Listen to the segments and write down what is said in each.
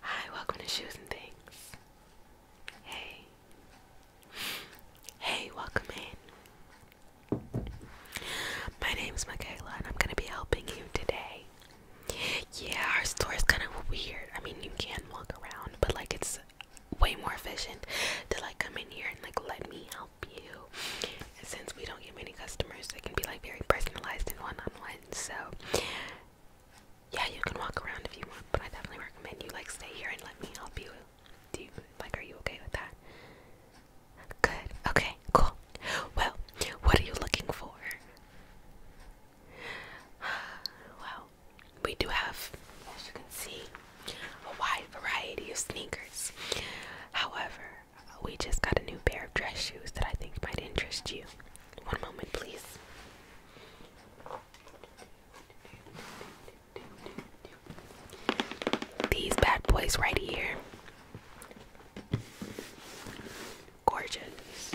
Hi, welcome to Shoes and Things. Hey. Hey, welcome in. My name's Michaela and I'm gonna be helping you today. Yeah, our store is kind of weird. I mean, you can walk around, but like it's way more efficient to like come in here and like let me help you. since we don't get many customers, they can be like very personalized and one-on-one. So yeah, you can walk around if you want, but I definitely recommend you like stay here and let me help you. Do like? Are you okay with that? Good. Okay. Cool. Well, what are you looking for? wow we do have, as you can see, a wide variety of sneakers. However, we just got a new pair of dress shoes that I think might interest you. One moment, please. These bad boys right here. Gorgeous.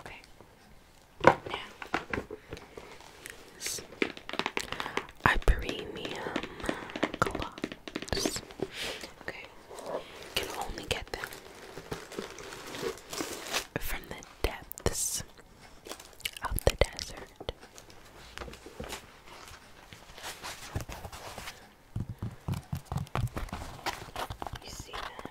Okay. premium gloves. Okay. You can only get them from the depths of the desert. You see them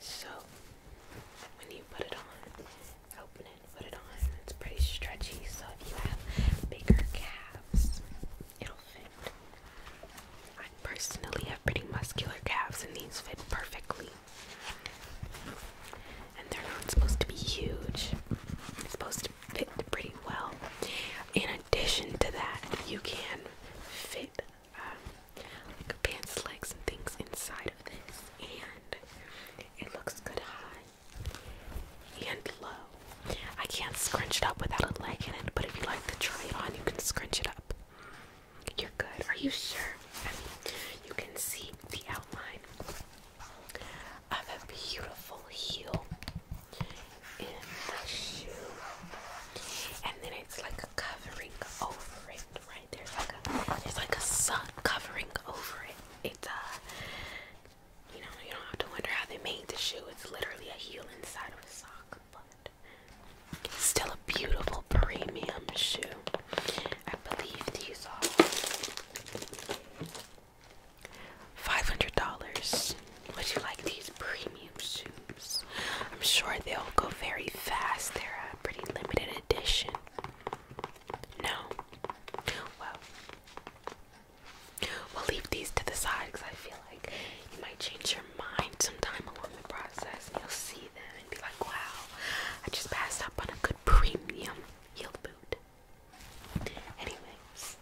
So when you put it on, open it, put it on. It's pretty stretchy, so if you have bigger calves, it'll fit. I personally have pretty muscular calves, and these fit perfectly. And they're not supposed to be huge. It's supposed to fit pretty well. In addition to that, you can fit um, like pants legs and things inside of this, and it looks good high and low. I can't scrunch it up without a leg in it, but if you like to try it on, you can scrunch it up. You're good. Are you sure? I mean, you can see the outline of a beautiful heel in the shoe, and then it it's like a covering over it, right? There's like like a sun covering over it. It's uh you know, you don't have to wonder how they made the shoe. It's literally a heel inside of a sock, but it's still a beautiful premium shoe. I believe these are $500. Would you like these premium shoes? I'm sure they'll go very fast. They're a pretty limited edition. No. Well, we'll leave these to the side because I feel like you might change your mind sometime along the process. And you'll see them and be like, wow, I just passed up on a good premium heel boot. Anyways.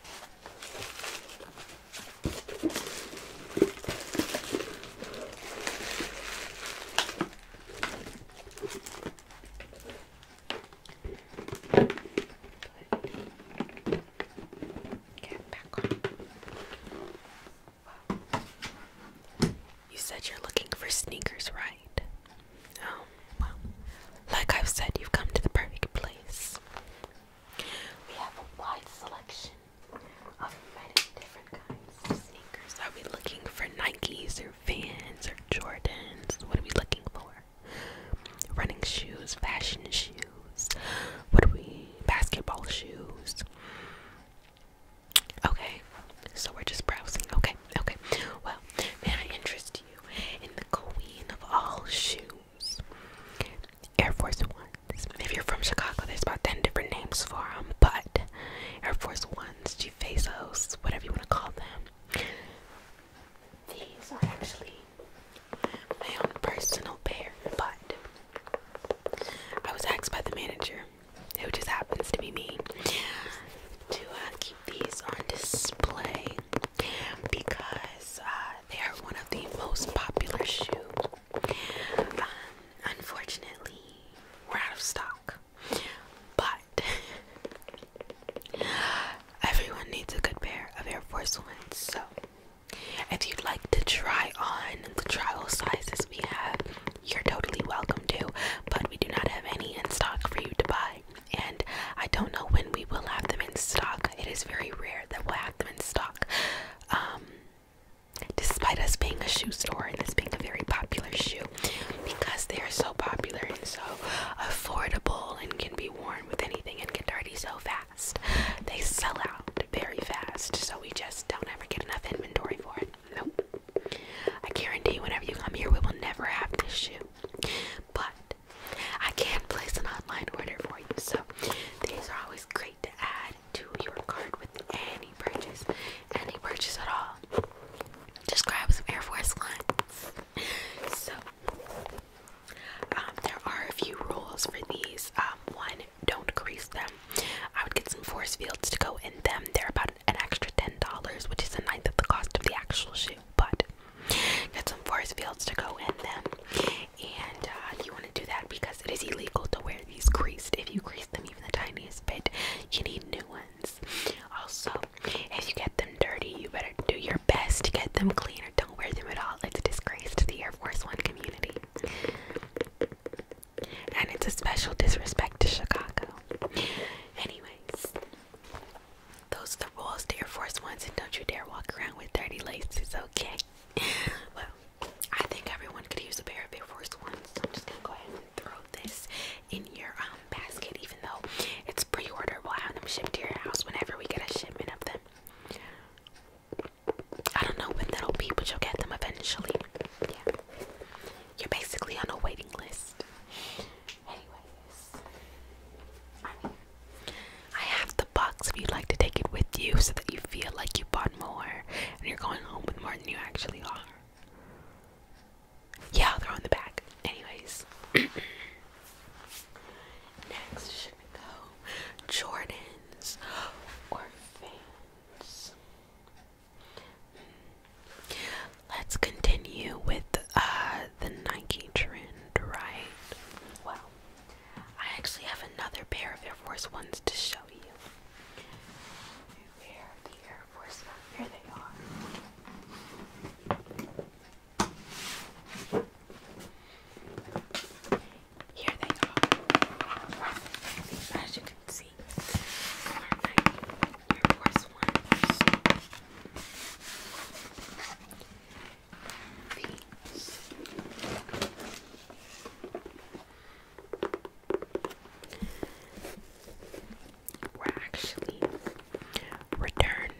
You said you're looking for sneakers, right? Oh, well. Like I've said, you've come to the perfect place. We have a wide selection of many different kinds sneakers. Are we looking for Nikes or Vans or Jordans? What are we looking for? Running shoes, fashion shoes. What are we? Basketball shoes. Okay, so we're just browsing. Okay, okay. Well, may I interest you in the queen of all shoes, Air Force One. If you're from Chicago, there's about 10 different names for them, but Air Force Ones, G Fazos, whatever you want to call them. These are actually my own personal pair, but I was asked by the manager, who just happens to be me, to uh, keep these on display because uh, they are one of the most popular shoes um, unfortunately, we're out of stock. But everyone needs a good pair of Air Force Ones. So if you'd like to try on the trial sizes we have, you're totally welcome to. But we do not have any in stock for you to buy. And I don't know when we will have them in stock. It is very rare that we'll have them in stock. Um, Despite us being a shoe store and this being a very popular shoe, because they are so popular and so affordable and can be worn with anything and get dirty so fast, they sell out very fast. So we just don't ever get enough inventory for it. Nope. I guarantee whenever you come here, we will never have this shoe. But I can place an online order for you, so these are always great to add to your card with any purchase, any purchase at all. Just grab some Air Force Ones. So, um, there are a few rules for these. Um, one, don't grease them. I would get some force fields to go in them. They're about an extra $10, which is a ninth of the cost of the actual shoe, but get some force fields to go in them. And uh, you want to do that because it is illegal to wear these creased. If you crease them even the tiniest bit, you need new ones. Also, if you get them dirty, you better do your best to get them clean or don't wear them at all. It's a disgrace to the Air Force One community. And it's a special disrespect to Chicago. Anyways, those are the rules to Air Force Ones, and don't you dare walk around with dirty laces, It's okay? well, I think everyone could use a pair of Air Force Ones. So I'm just gonna go ahead and throw this in your um, basket, even though it's pre-order. We'll have them shipped to your house whenever we get a shipment of them. I don't know when that'll be, but you'll get them eventually. Yeah. You're basically on a waiting list. Anyways, I have the box if you'd like to take it with you so that you feel like you bought more and you're going home with you actually are. Yeah, they're on the back. Anyways. Next, go Jordans or Vans? Hmm. Let's continue with uh, the Nike trend, right? Well, I actually have another pair of Air Force Ones to show you. Where the Air Force? Here they are. Here they are. As you can see, are my Air Force Ones. These were actually returned.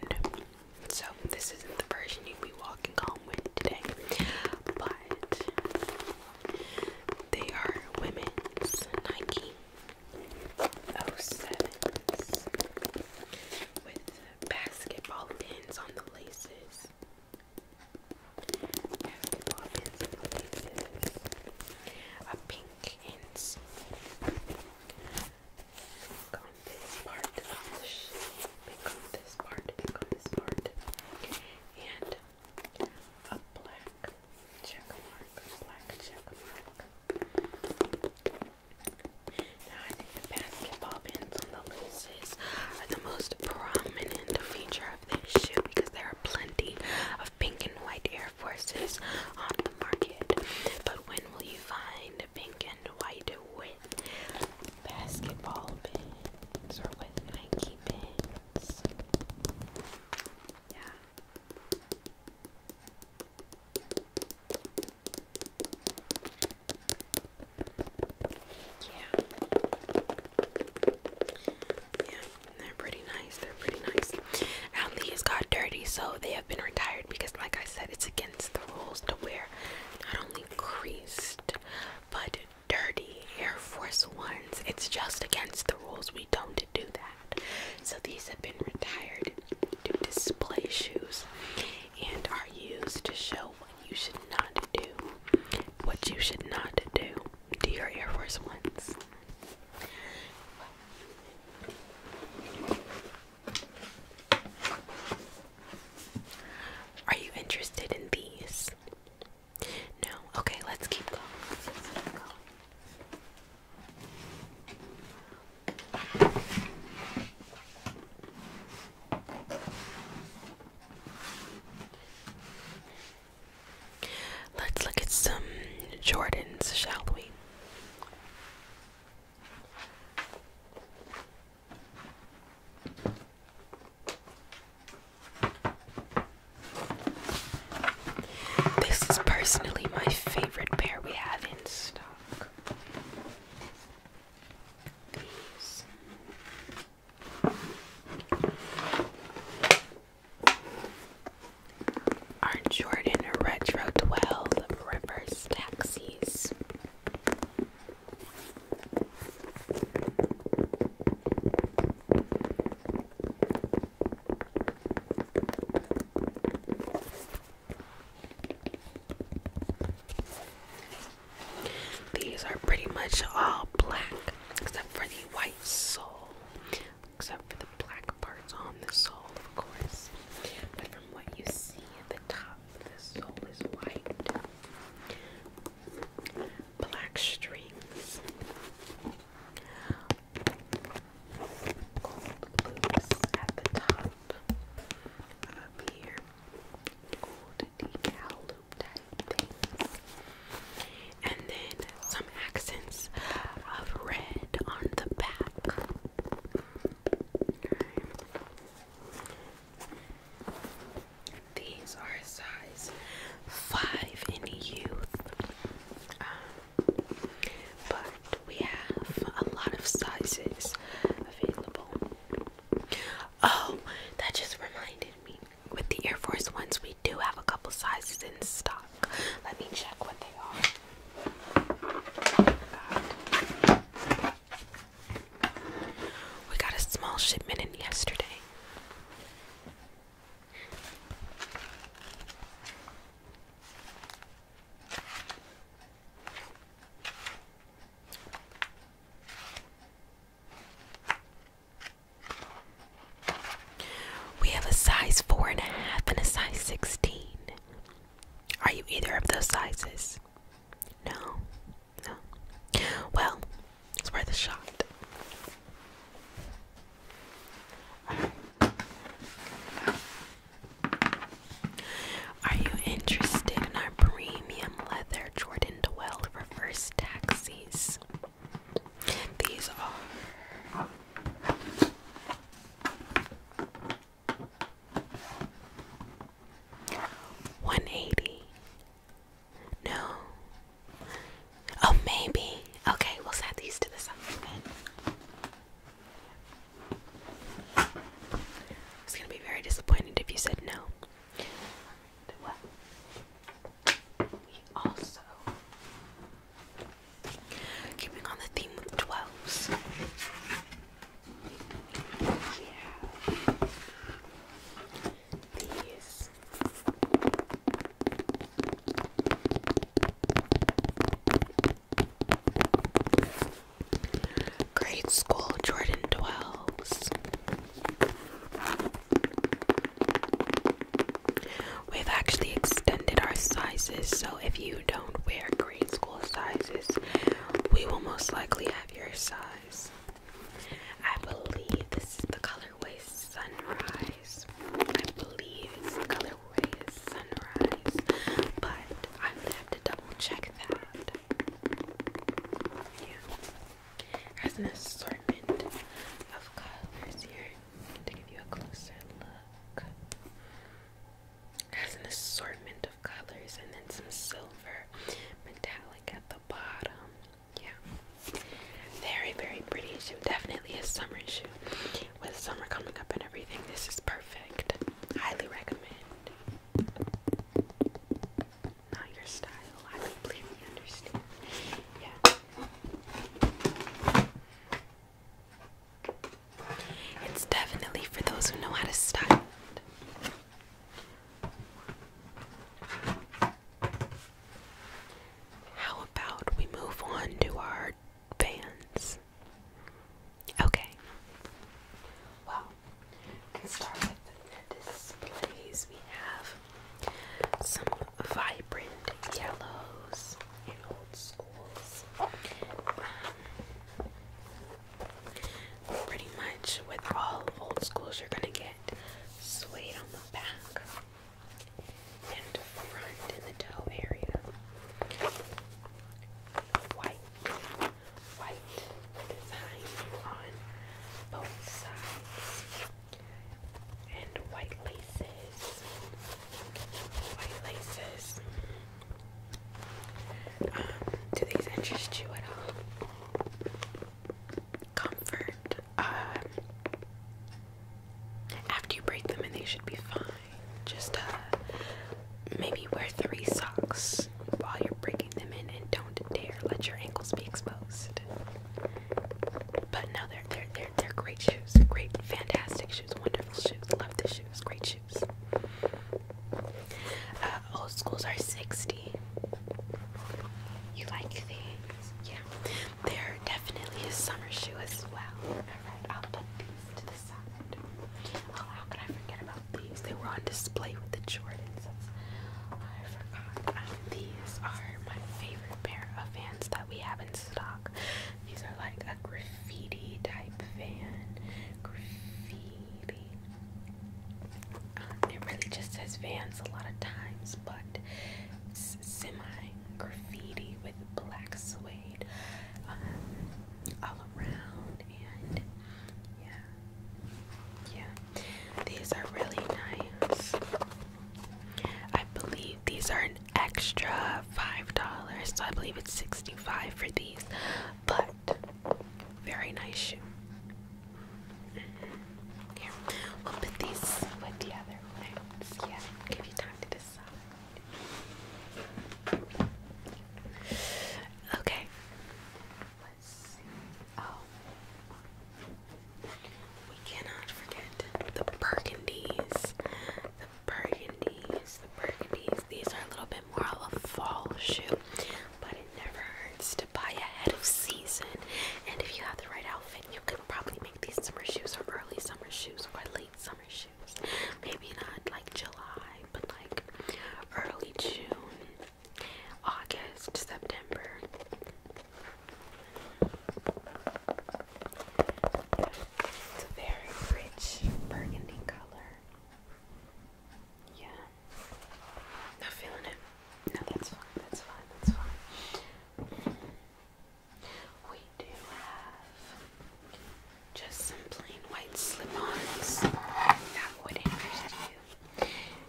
So, this isn't the version you'd be walking home with today, but they are women's Nike 07s with basketball pins on the laces a pink ends pick on this part of on this part, pick on this part, and a black check mark, black check mark. Now I think the basketball pins on the laces are the most prominent feature of this shoe because there are plenty of pink and white Air Forces on the market. But when will you find pink and white with basketball pins or with Nike pins? Yeah. Yeah. Yeah. They're pretty nice. They're pretty nice. Now these got dirty, so they have been retired because, like I said, it's against the rules to wear not only creased but dirty Air Force Ones. It's just against the rules. We don't do that. So these have been retired to display shoes and are used to show what you should not do, what you should not do do your Air Force Ones. Are you interested in these? No? Okay, let's keep going. Let's look at some Jordans, shall we? This is personally my favorite pair we have in stock. Our Jordan Retro 12 Reverse Taxis. These are pretty much all black except for the white sole except for the black parts on the sole, of course. But from what you see, the top the sole is white. Black strings, gold loops at the top up here, gold decal and then some accents of red on the back. These are size five in youth, um, but we have a lot of sizes available. Oh, that just reminded me with the Air Force ones, we do have a couple sizes in stock. Let me check what they are. We got a small shipment in yesterday. We have a size four and a half and a size 16. Are you either of those sizes? No, no. Well, it's worth a shot. Are you interested in our premium leather Jordan Dwell reverse taxis? These are one eighty. No. Oh, maybe. Okay, we'll set these to the side. Then. It's gonna be very disappointed if you said no. We also, keeping on the theme with 12s, we have these. Grade School Jordan 12s. We've actually extended our sizes, so if you don't wear grade school sizes, we will most likely have your size. I believe this is the colorway Sunrise. I believe it's the colorway Sunrise, but I'm have to double check that. Yeah. There's an assortment of colors here to give you a closer look. It has an assortment of colors and then some silver metallic at the bottom. Yeah. Very, very pretty shoe. Definitely a summer shoe. With summer coming up and everything, this is perfect. Highly recommend. Not your style. I completely understand. Yeah. It's definitely for those who know how to style How about we move on to our fans? Okay. Well, can start with the displays we have some vibrant yellows in old schools. Um, pretty much with all old schools, you're gonna get suede on the back and front in the toe area. White, white design on both sides and white laces. White laces. Um, do these interest you at all? Comfort. Um, after you break them in, they should be fine. Just uh, maybe wear three socks while you're breaking them in, and don't dare let your ankles be exposed. But no, they're they're they're great shoes. Great, fantastic shoes. Wonderful shoes. Love the shoes. Great shoes. Uh, old schools are sixty. You like these? Yeah. They're definitely a summer shoe as well. Alright, I'll put these to the side. Oh, how could I forget about these? They were on display with the Jordans. I forgot. Uh, these are my favorite pair of Vans that we have in stock. These are like a graffiti type fan. Graffiti. Um, it really just says vans a lot of times, but semi graffiti with black suede um, all around. And yeah, yeah, these are really nice. I believe these are an extra five dollars, so I believe it's 65 for these, but very nice shoe. Here, we'll put these with the other ones. Yeah, give you time to decide. Okay. We cannot forget the burgundies. The burgundies, the burgundies. These are a little bit more of a fall shoe, but it never hurts to buy ahead of season. And if you have the right outfit, you can probably make these summer shoes or early summer shoes or late summer shoes. Maybe not like July, but like early June, August, September. It's a very rich burgundy color. Yeah. Not feeling it. No, that's fine. That's fine. That's fine. We do have just some plain white slip-ons that would interest you.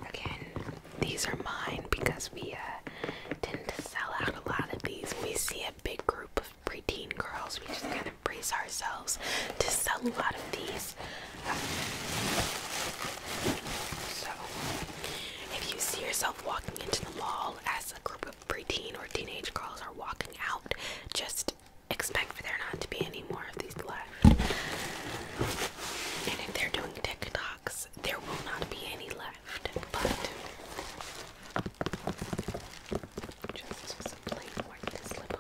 Again, these are mine because we uh, tend to sell out a lot of these. We see a big group of preteen girls. We just kind of brace ourselves to sell a lot of these. So, if you see yourself walking into the mall as a group of preteen or teenage girls are walking out, just expect for there not to be any more of these left. And if they're doing TikToks, there will not be any left. But just some plain white slip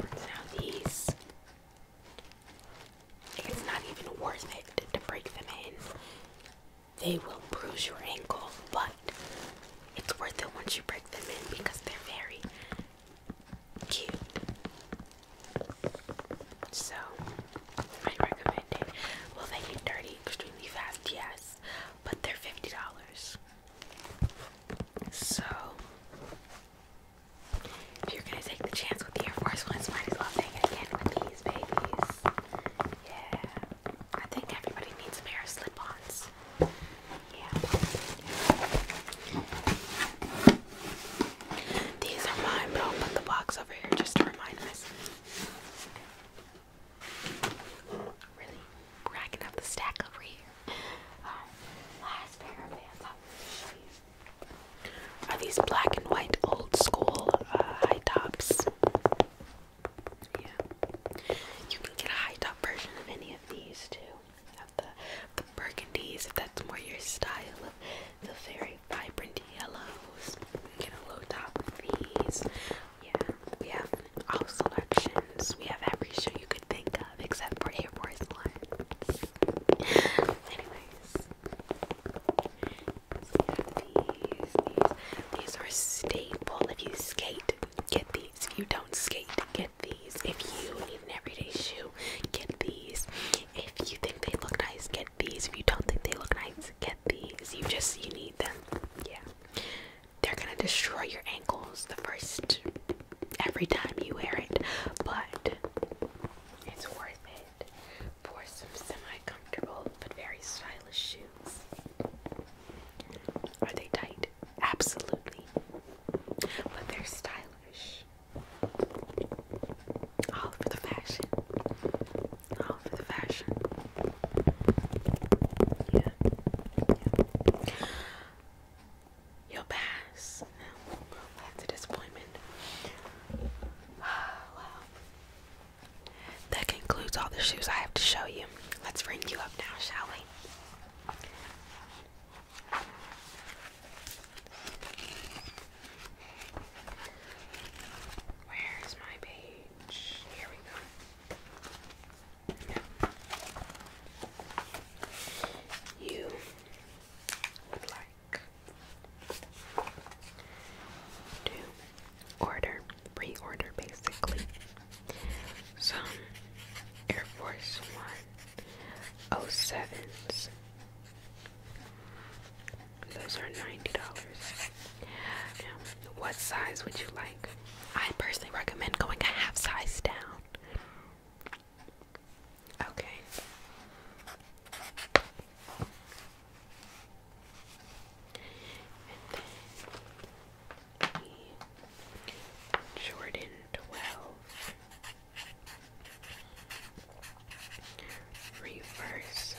Now these, it's not even worth it to break them in. They will bruise your ankle, but it's worth it once you break them in because they're very cute. So I recommend it. Well, they get dirty extremely fast? Yes, but they're fifty dollars. So if you're gonna take the chance with the Air Force Ones, might as well take it again with these babies. Yeah, I think everybody needs a pair of slip-ons. Yeah. These are mine, but I'll put the box over here just to remind us. Really racking up the stack over here. last pair of pants I'm to show you are these black and white old school uh, high tops. Yeah, you can get a high top version of any of these too. Of the, the burgundies, if that's more your style, of the very vibrant yellows. You top these. Yeah, we have all selections. We have every shoe you could think of except for Air Force Ones. Anyways, these. These, these are staple. If you skate, get these. If you don't skate, get these. If you need an everyday shoe, get these. If you think they look nice, get these. If you don't think they look nice, get these. You just you need them. Yeah. They're gonna destroy your ankles the first every time you wear it, but it's worth it for some semi-comfortable but very stylish shoes. Are they tight? Absolutely. But they're stylish. All for the fashion. All for the fashion. You'll pass. that's a disappointment. wow. That concludes all the shoes I have to show you. Let's ring you up now, shall we? Where's my baby? Here we go. you would like to order, pre basically, some Air Force One O sevens. Those are $90. what size would you like? I personally recommend going a half size down. Okay. Jordan 12 reverse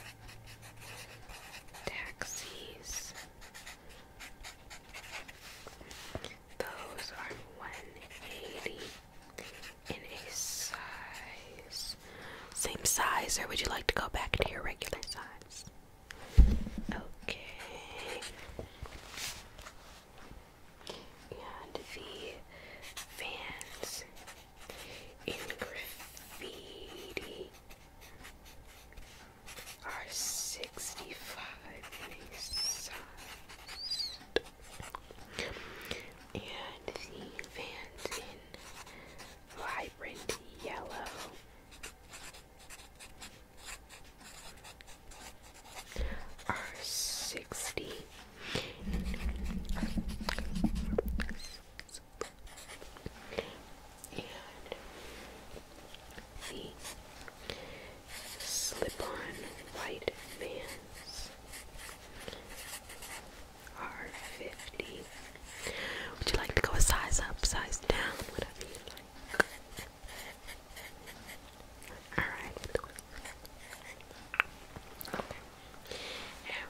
taxis. Those are 180 in a size. Same size, or would you like to go back to your regular size? Okay. And the Vans in graffiti are 65 inch sized. And the van's in vibrant yellow. Are 60 and the slip-on white vans are 50 would you like to go a size up, size down, whatever you like alright okay. and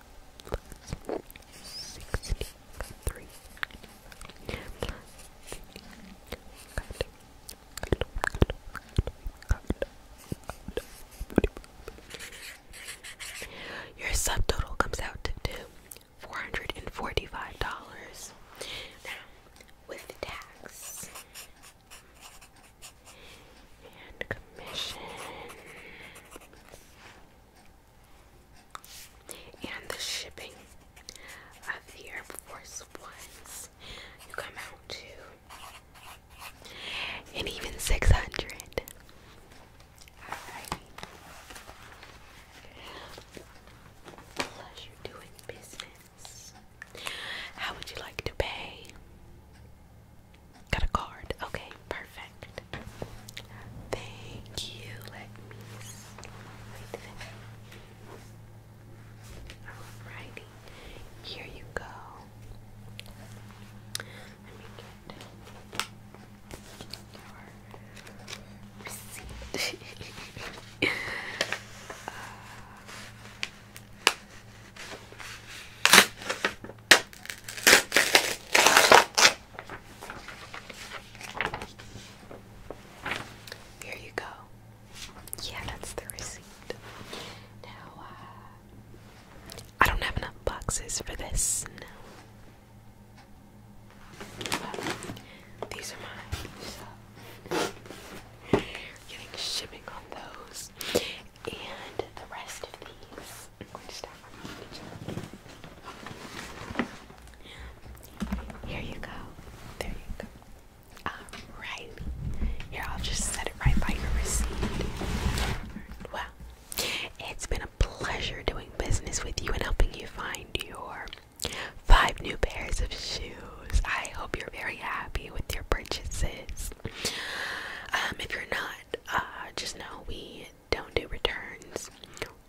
Your subtotal comes out to four hundred and forty-five dollars. Now, with the tax and commission, and the shipping of the Air Force Ones. You come out to, and even six hundred. Plus, you're doing business. How would you like to pay? Got a card. Okay, perfect. Thank you. Let me Alrighty. Here you go. Let me get your receipt. Here you go. Yeah, that's the receipt. Now, uh, I don't have enough boxes for this. No. these are mine. So, getting shipping on those. And the rest of these I'm going to stack them Here you go. There you go. Alright. Here, I'll just set it right by your receipt. Well, it's been a pleasure doing business with you and helping you find your five new pairs of shoes. I hope you're very happy with your purchases. Um, if you're not, uh, just know we don't do returns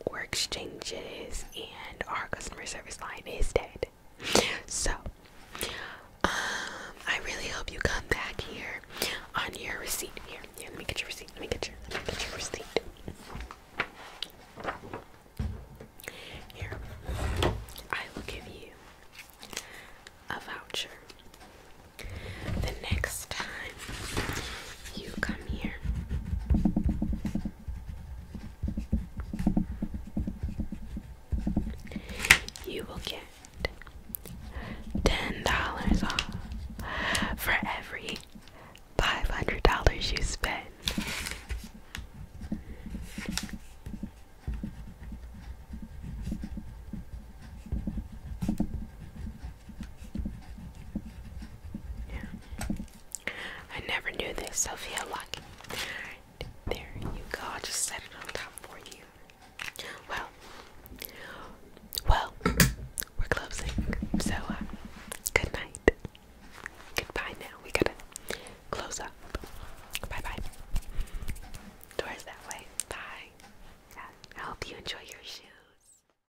or exchanges, and our customer service line is dead. So, um, I really hope you come back here on your receipt. Here, here, let me get your receipt. Let me get your, let me get your receipt. Here, I will give you a voucher. The next time you come here. You will get ten dollars off for every five hundred dollars you spend. Yeah. I never knew this, so feel lucky. there you go. i just set it on top for you. Well, well, we're closing. So, uh, good night. Goodbye now. We gotta close up. Bye bye. Doors that way. Bye. Yeah, I hope you enjoy your shoes.